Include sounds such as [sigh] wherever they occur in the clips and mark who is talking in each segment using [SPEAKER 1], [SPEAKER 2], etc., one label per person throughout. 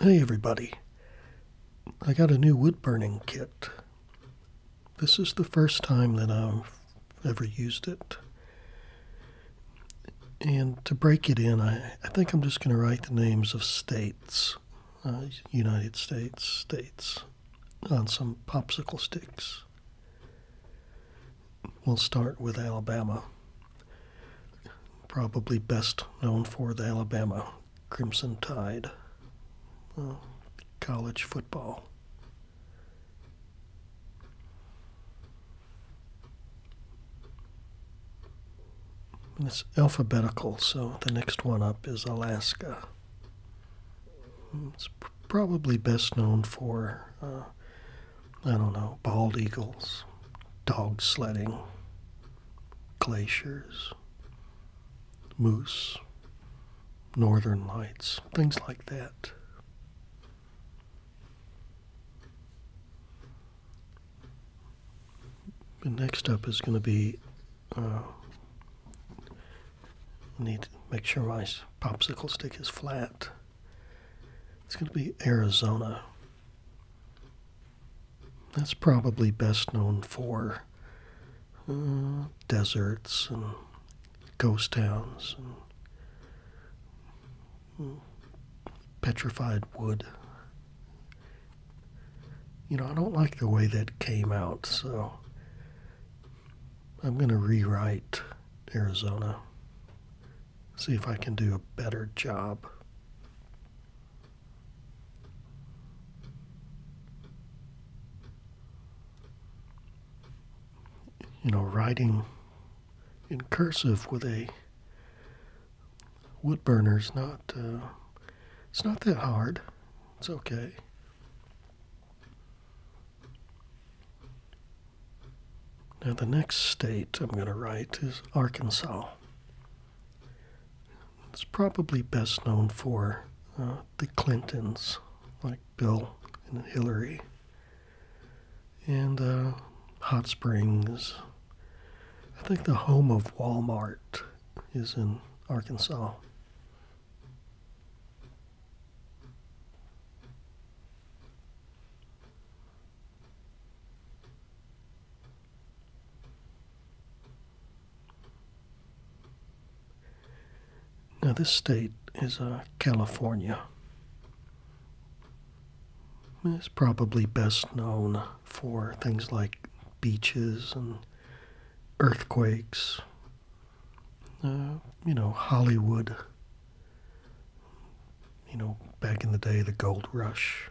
[SPEAKER 1] Hey everybody, I got a new wood burning kit. This is the first time that I've ever used it. And to break it in, I, think I'm just going to write the names of states uh, United States states on some popsicle sticks. We'll start with Alabama, probably best known for the Alabama Crimson Tide, uh, college football it's alphabetical, so the next one up is Alaska. It's probably best known for, uh, I don't know, bald eagles, dog sledding, glaciers, moose, northern lights, things like that. The next up is going to be uh, need to make sure my popsicle stick is flat. It's going to be Arizona. That's probably best known for uh, deserts and ghost towns and mm, petrified wood you know, I don't like the way that came out, so I'm going to rewrite Arizona. See if I can do a better job. You know, writing in cursive with a wood burners not uh, it's not that hard it's okay now the next state i'm going to write is arkansas it's probably best known for uh, the clintons like bill and hillary and uh, hot springs i think the home of walmart is in Arkansas. Now, this state is uh, California. It's probably best known for things like beaches and earthquakes, uh, you know, Hollywood, you know, back in the day, the gold rush.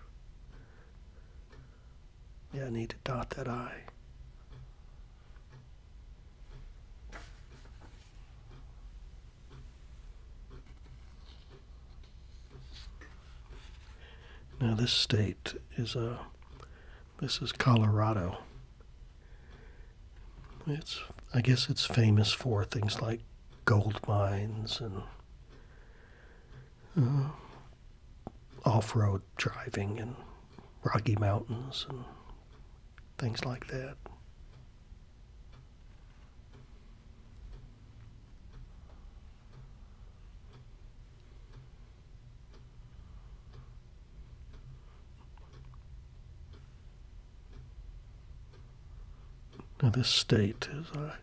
[SPEAKER 1] Yeah, I need to dot that I. Now this state is a uh, this is Colorado. It's I guess it's famous for things like gold mines and uh, off-road driving and Rocky Mountains and things like that. Now, this state is uh,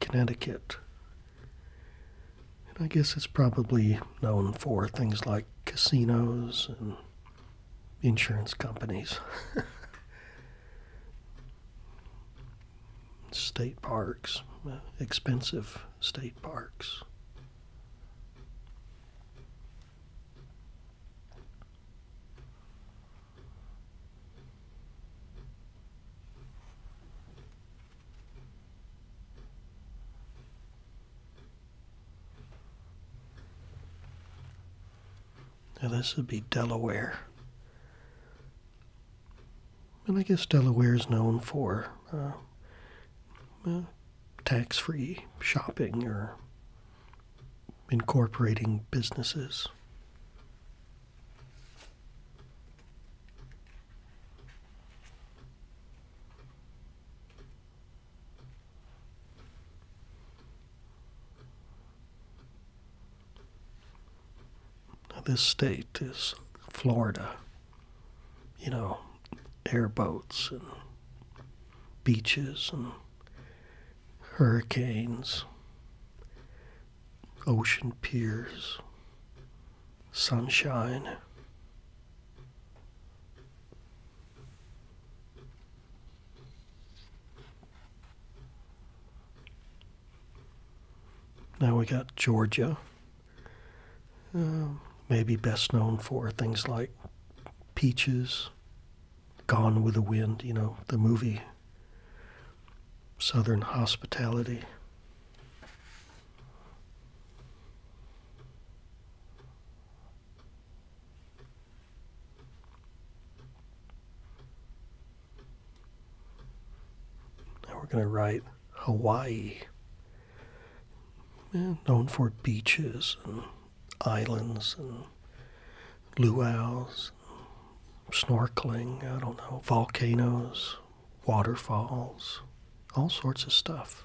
[SPEAKER 1] Connecticut. And I guess it's probably known for things like casinos and insurance companies. [laughs] state parks, expensive state parks. Now, this would be Delaware. And I guess Delaware is known for uh, uh, tax free shopping or incorporating businesses this state is Florida. You know, airboats and beaches and hurricanes, ocean piers, sunshine. Now we got Georgia, um, maybe best known for things like Peaches, Gone with the Wind, you know, the movie, Southern Hospitality. Now we're going to write Hawaii, known for beaches and islands and luau's, snorkeling, I don't know, volcanoes, waterfalls, all sorts of stuff.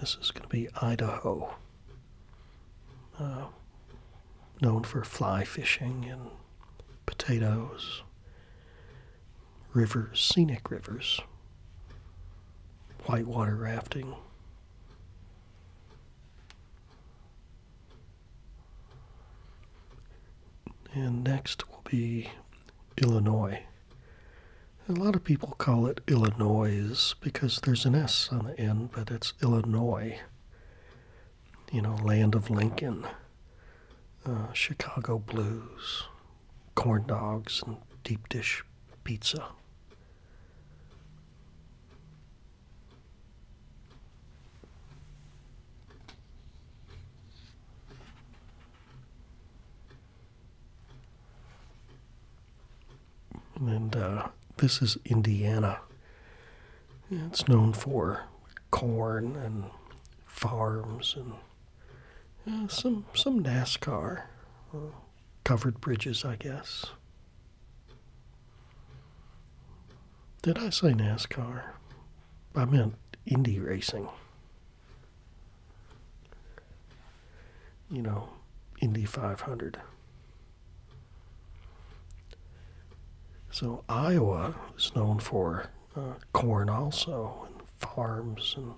[SPEAKER 1] This is going to be Idaho, uh, known for fly fishing and potatoes, rivers, scenic rivers, whitewater rafting. And next will be Illinois. A lot of people call it Illinois because there's an S on the end, but it's Illinois. You know, land of Lincoln, uh, Chicago blues, corn dogs, and deep dish pizza. And uh, this is Indiana.
[SPEAKER 2] It's known
[SPEAKER 1] for corn and farms and some some NASCAR, uh, covered bridges, I guess. Did I say NASCAR? I meant Indy racing you know, Indy 500. So Iowa is known for uh, corn also, and farms and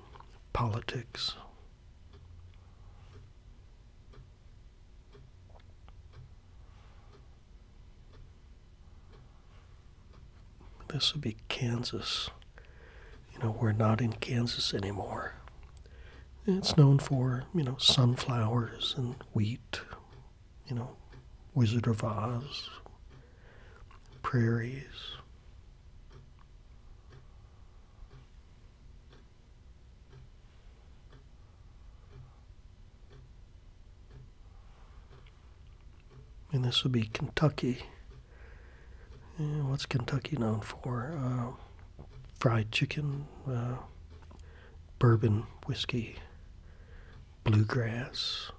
[SPEAKER 1] politics. This would be Kansas you know, we're not in Kansas anymore. It's known for, you know, sunflowers and wheat, you know, Wizard of Oz, prairies. And this would be Kentucky what's Kentucky known for? Uh, fried chicken, uh, bourbon, whiskey, bluegrass,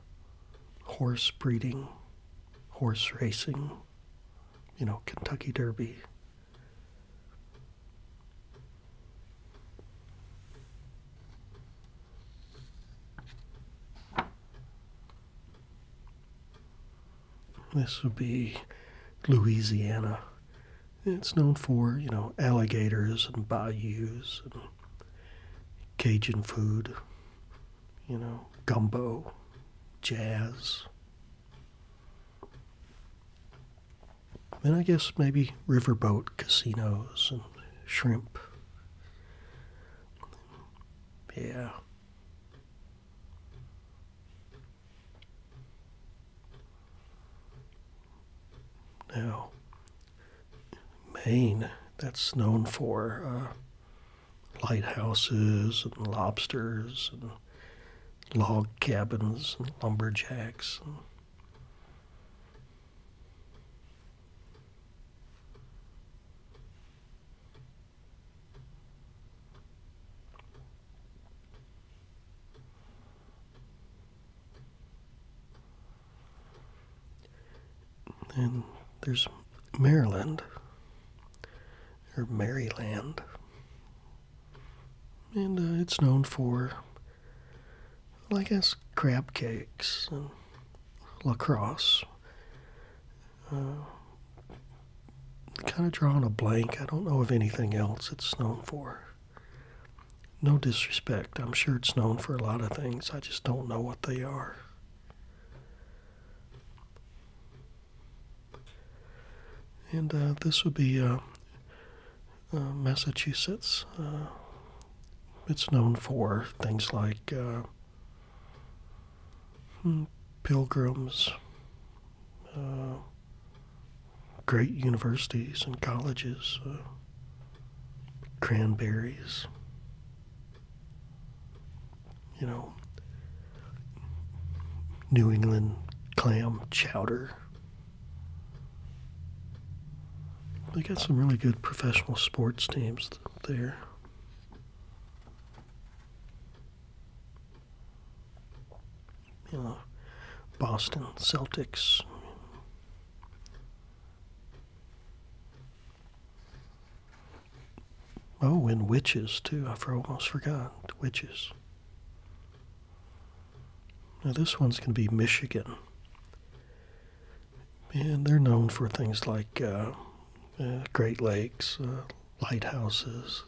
[SPEAKER 1] horse breeding, horse racing, you know, Kentucky Derby. This would be Louisiana. It's known for, you know, alligators and bayous and Cajun food, you know, gumbo, jazz. Then I guess maybe riverboat casinos and shrimp. Yeah. Now, Maine, that's known for uh, lighthouses and lobsters and log cabins and lumberjacks. And there's Maryland or Maryland, and uh, it's known for, I guess, crab cakes and lacrosse. Uh, kind of drawing a blank. I don't know of anything else it's known for. No disrespect. I'm sure it's known for a lot of things. I just don't know what they are. And uh, this would be uh, Massachusetts. it's known for things like Hmm, pilgrims, uh, great universities and colleges, uh, cranberries, you know, New England clam chowder. They got some really good professional sports teams there. You know, Boston Celtics. Oh, and witches too. I almost forgot witches. Now this one's going to be Michigan, and they're known for things like uh, uh, Great Lakes, uh, lighthouses,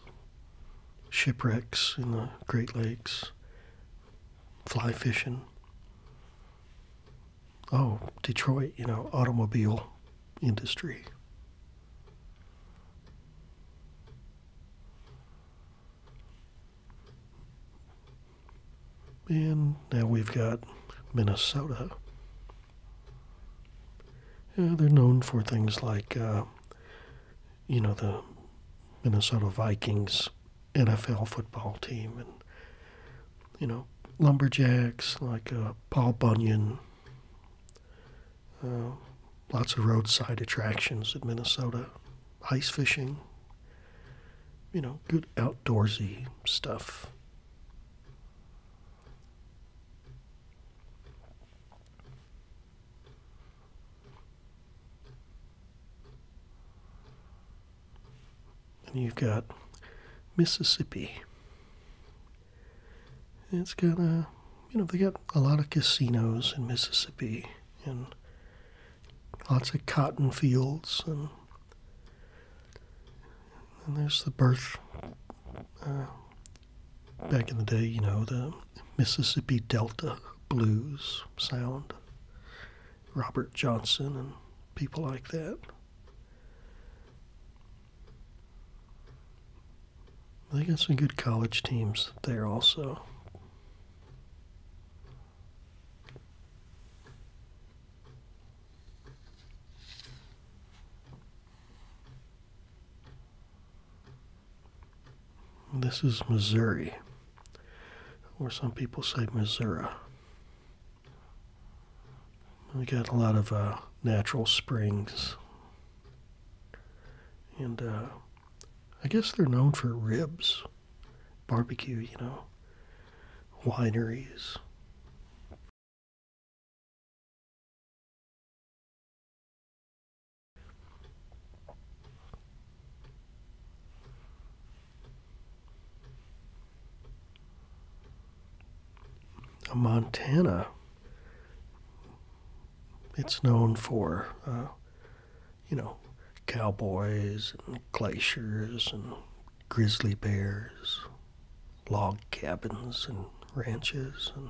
[SPEAKER 1] shipwrecks in the Great Lakes, fly fishing. Oh, Detroit, you know, automobile industry. And now we've got Minnesota they're known for things like, uh, you know, the Minnesota Vikings NFL football team and, you know, lumberjacks like uh, Paul Bunyan. Uh, lots of roadside attractions in Minnesota, ice fishing, you know, good outdoorsy stuff. And you've got Mississippi. It's got a, uh, you know, they got a lot of casinos in Mississippi and lots of cotton fields and and there's the birth. Uh, back in the day, you know, the Mississippi Delta blues sound, Robert Johnson and people like that. They got some good college teams there also. This is Missouri, or some people say Missouri. We got a lot of uh, natural springs, and uh, I guess they're known for ribs, barbecue, you know, wineries, Montana, it's known for, uh, you know, cowboys and glaciers and grizzly bears, log cabins and ranches and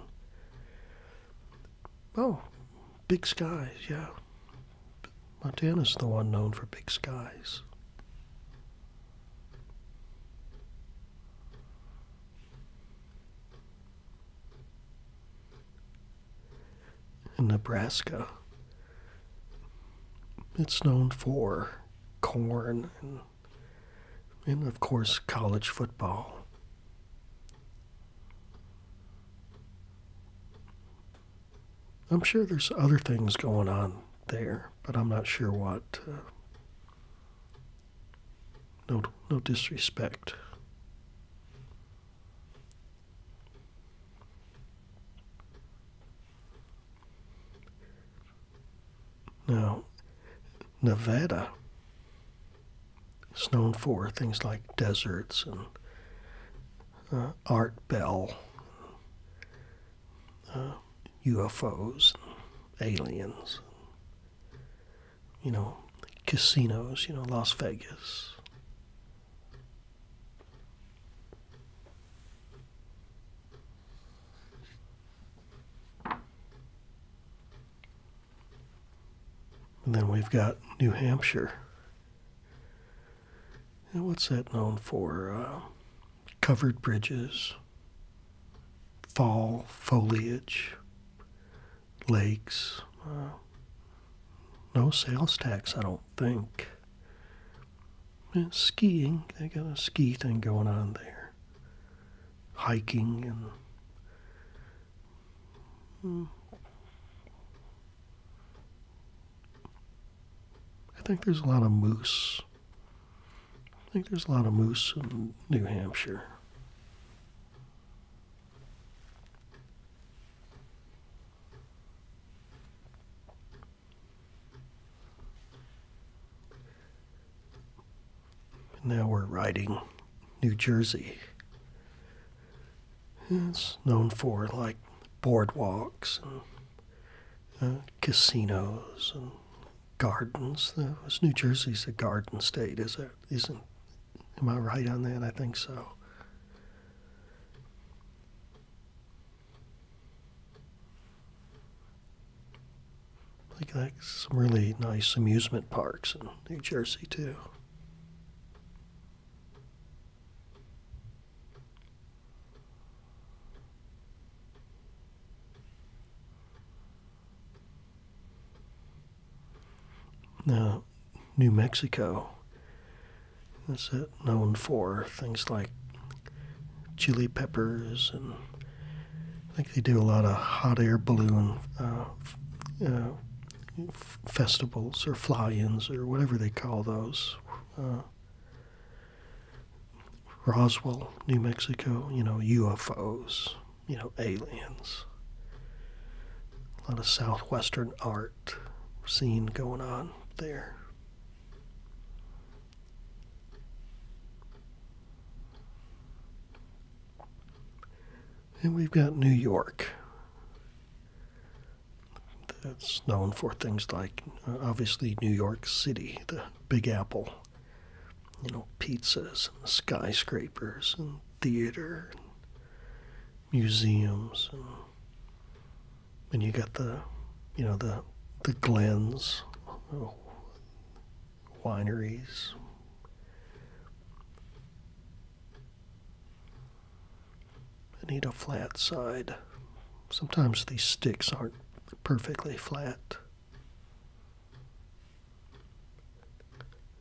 [SPEAKER 1] oh, big skies, yeah. Montana's the one known for big skies. In Nebraska, it's known for corn and and of course, college football. I'm sure there's other things going on there, but I'm not sure what. Uh, no, no disrespect. Now, Nevada is known for things like deserts and uh, Art Bell, UFOs, uh, aliens, you know, casinos, you know, Las Vegas. And then we've got New Hampshire. And what's that known for? Uh, covered bridges, fall foliage, lakes. Uh, no sales tax, I don't think. skiing, they got a ski thing going on there hiking and hmm. I think there's a lot of moose. I think there's a lot of moose in New Hampshire. Now we're riding New Jersey. It's known for like boardwalks and uh, casinos and gardens. Was New Jersey's a garden state, is it? Isn't? Am I right on that? I think so. Like that, some really nice amusement parks in New Jersey too. Now, New Mexico. is it, known for things like chili peppers, and I think they do a lot of hot air balloon uh, uh, festivals or fly-ins or whatever they call those. Uh, Roswell, New Mexico, you know, UFOs, you know, aliens. A lot of southwestern art scene going on there. And we've got New York. That's known for things like, uh, obviously, New York City, the Big Apple, you know, pizzas and skyscrapers and theater and museums. And, and you got the, you know, the, the glens uh, wineries. I need a flat side. Sometimes these sticks aren't perfectly flat.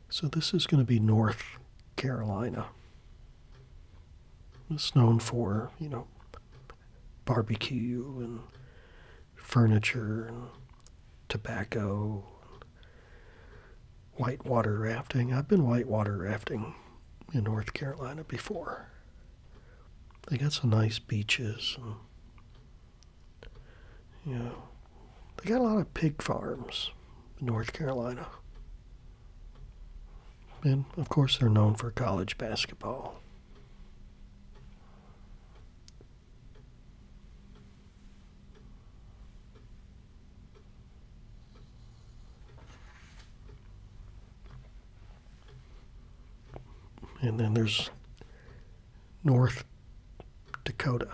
[SPEAKER 1] So this is going to be North Carolina. It's known for, you know, barbecue and furniture and tobacco, and whitewater rafting. I've been whitewater rafting in North Carolina before. They got some nice beaches. And, they got a lot of pig farms in North Carolina. And of course, they're known for college basketball and then there's North Dakota.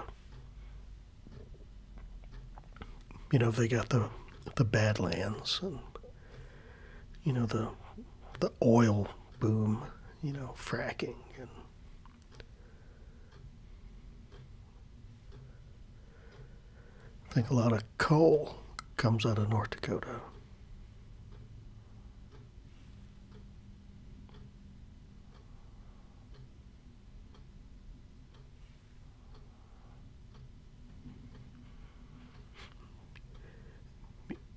[SPEAKER 1] You know, they got the the Badlands and you know the the oil boom, you know, fracking and I think a lot of coal comes out of North Dakota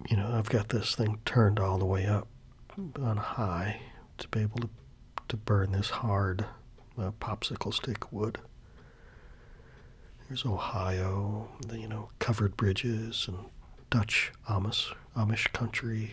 [SPEAKER 1] you know, I've got this thing turned all the way up on high to be able to, to burn this hard uh, popsicle stick wood. There's Ohio, the, you know, covered bridges and Dutch Amish country.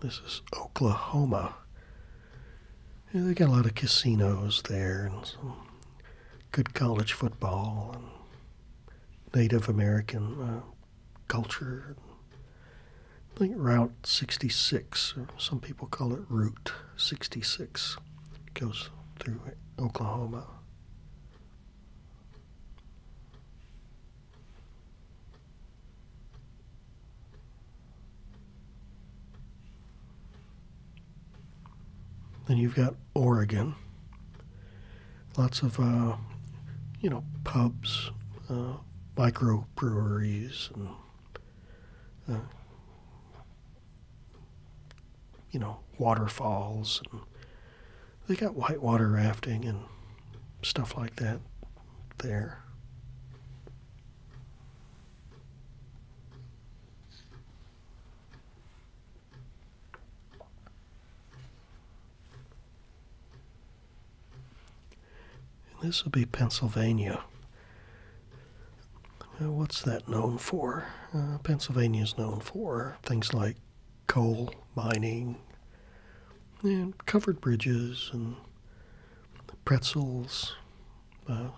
[SPEAKER 1] This is Oklahoma. they got a lot of casinos there and some good college football and Native American uh, culture. I think Route 66, some people call it Route 66, goes through Oklahoma. Then you've got Oregon. Lots of, uh, you know, pubs, uh, microbreweries, and, uh, you know, waterfalls they got whitewater rafting and stuff like that there. this will be Pennsylvania. what's that known for? Uh, Pennsylvania is known for things like coal mining and covered bridges and pretzels, uh,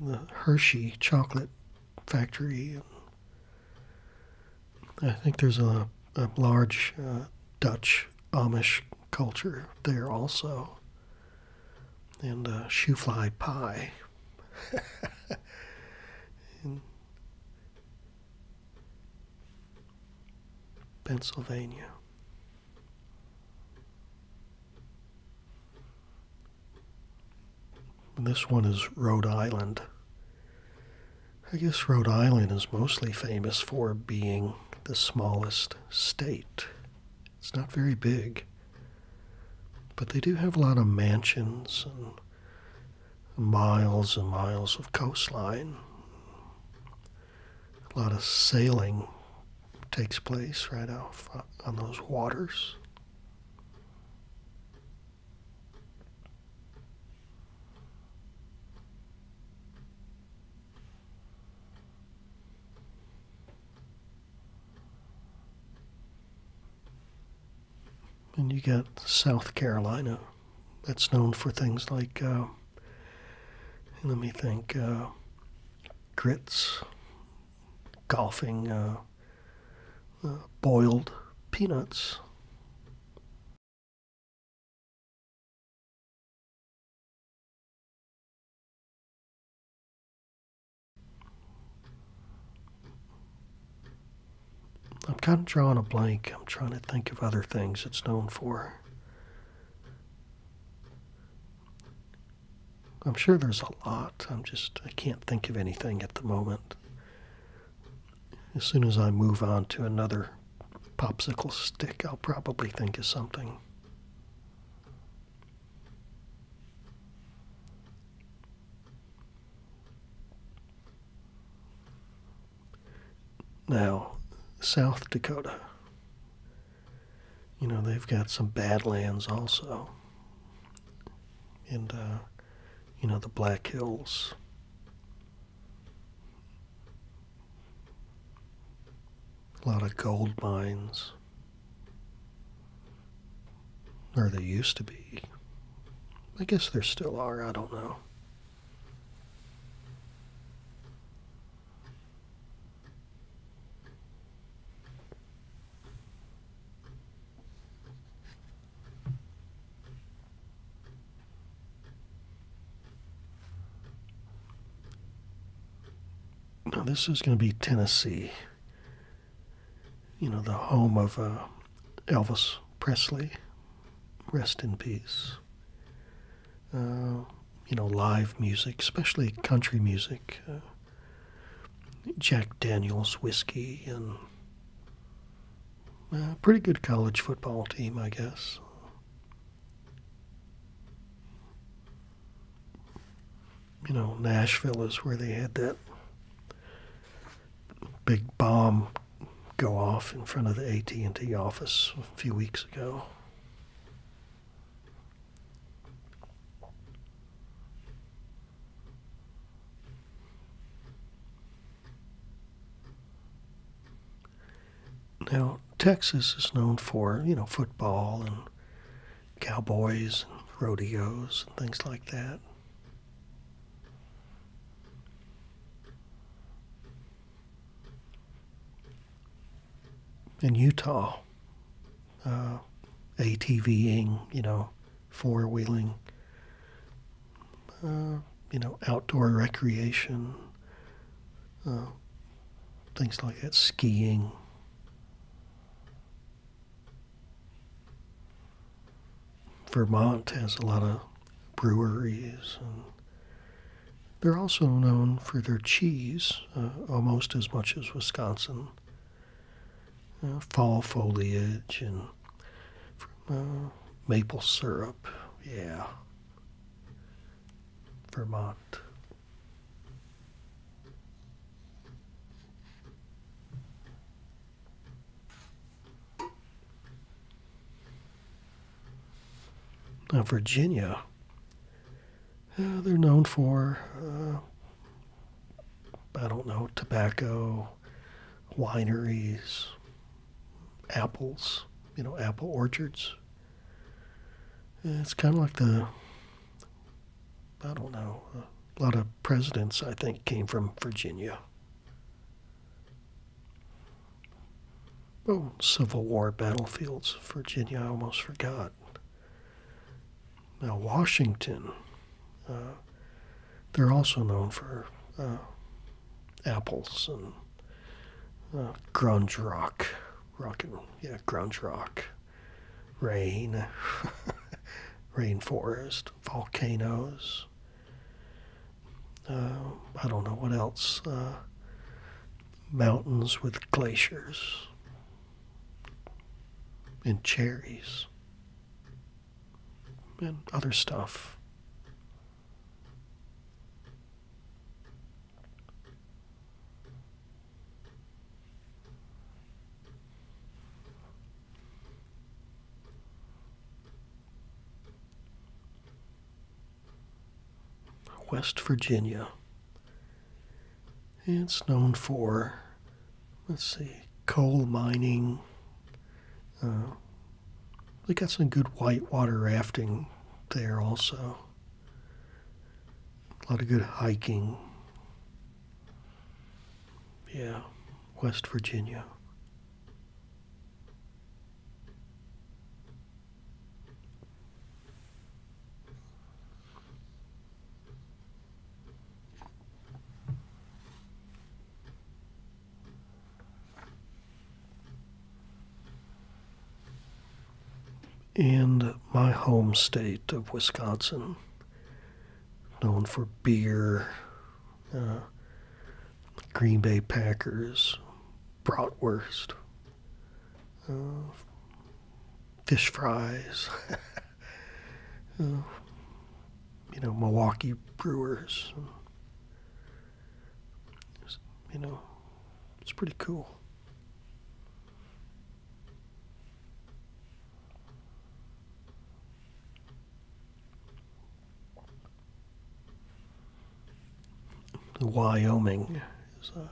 [SPEAKER 1] the Hershey chocolate factory. I think there's a, large uh, Dutch Amish culture there also, and uh, shoe fly pie. [laughs] Pennsylvania. this one is Rhode Island. I guess Rhode Island is mostly famous for being the smallest state. It's not very big. But they do have a lot of mansions and miles and miles of coastline. A lot of sailing takes place right off on those waters. And you got South Carolina, that's known for things like, uh, let me think, uh, grits, golfing, uh, boiled peanuts. I'm kind of drawing a blank. I'm trying to think of other things it's known for. I'm sure there's a lot. I'm just, I can't think of anything at the moment. As soon as I move on to another popsicle stick, I'll probably think of something. Now, South Dakota, you know, they've got some badlands also. And, uh, you know, the Black Hills. A lot of gold mines. Or they used to be. I guess there still are, I don't know. Now, this is going to be Tennessee you know, the home of uh, Elvis Presley. Rest in peace. Uh, you know, live music, especially country music. Uh, Jack Daniels whiskey and a pretty good college football team, I guess. You know, Nashville is where they had that big bomb go off in front of the AT&T office a few weeks ago. Now, Texas is known for, you know, football and cowboys and rodeos and things like that in Utah, uh, ATVing, you know, four wheeling, uh, you know, outdoor recreation, uh, things like that, skiing. Vermont has a lot of breweries, and they're also known for their cheese uh, almost as much as Wisconsin. Uh, fall foliage and uh, maple syrup, yeah. Vermont. Now, Virginia, uh, they're known for, uh, I don't know, tobacco, wineries, apples, you know, apple orchards. It's kind of like the, I don't know, uh, a lot of presidents, I think, came from Virginia. Oh, Civil War battlefields, Virginia, I almost forgot. Now, Washington, uh, they're also known for uh, apples and uh, grunge rock, rock yeah, grunge rock rain, [laughs] rainforest, volcanoes. Uh, I don't know what else. Uh, mountains with glaciers and cherries and other stuff. West Virginia. It's known for, let's see, coal mining. Uh, they got some good whitewater rafting there also. A lot of good hiking. Yeah, West Virginia. And my home state of Wisconsin known for beer. Uh, Green Bay Packers, bratwurst, uh, fish fries. [laughs] Uh, you know, Milwaukee Brewers. You know, it's pretty cool. Wyoming is uh,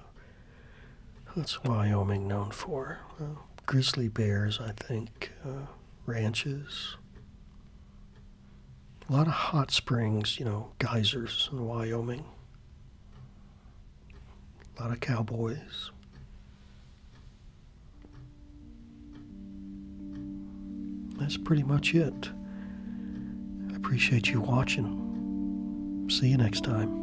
[SPEAKER 1] that's Wyoming known for uh, grizzly bears, I think, uh, ranches, a lot of hot springs, you know, geysers in Wyoming, a lot of cowboys. That's pretty much it. I appreciate you watching. See you next time.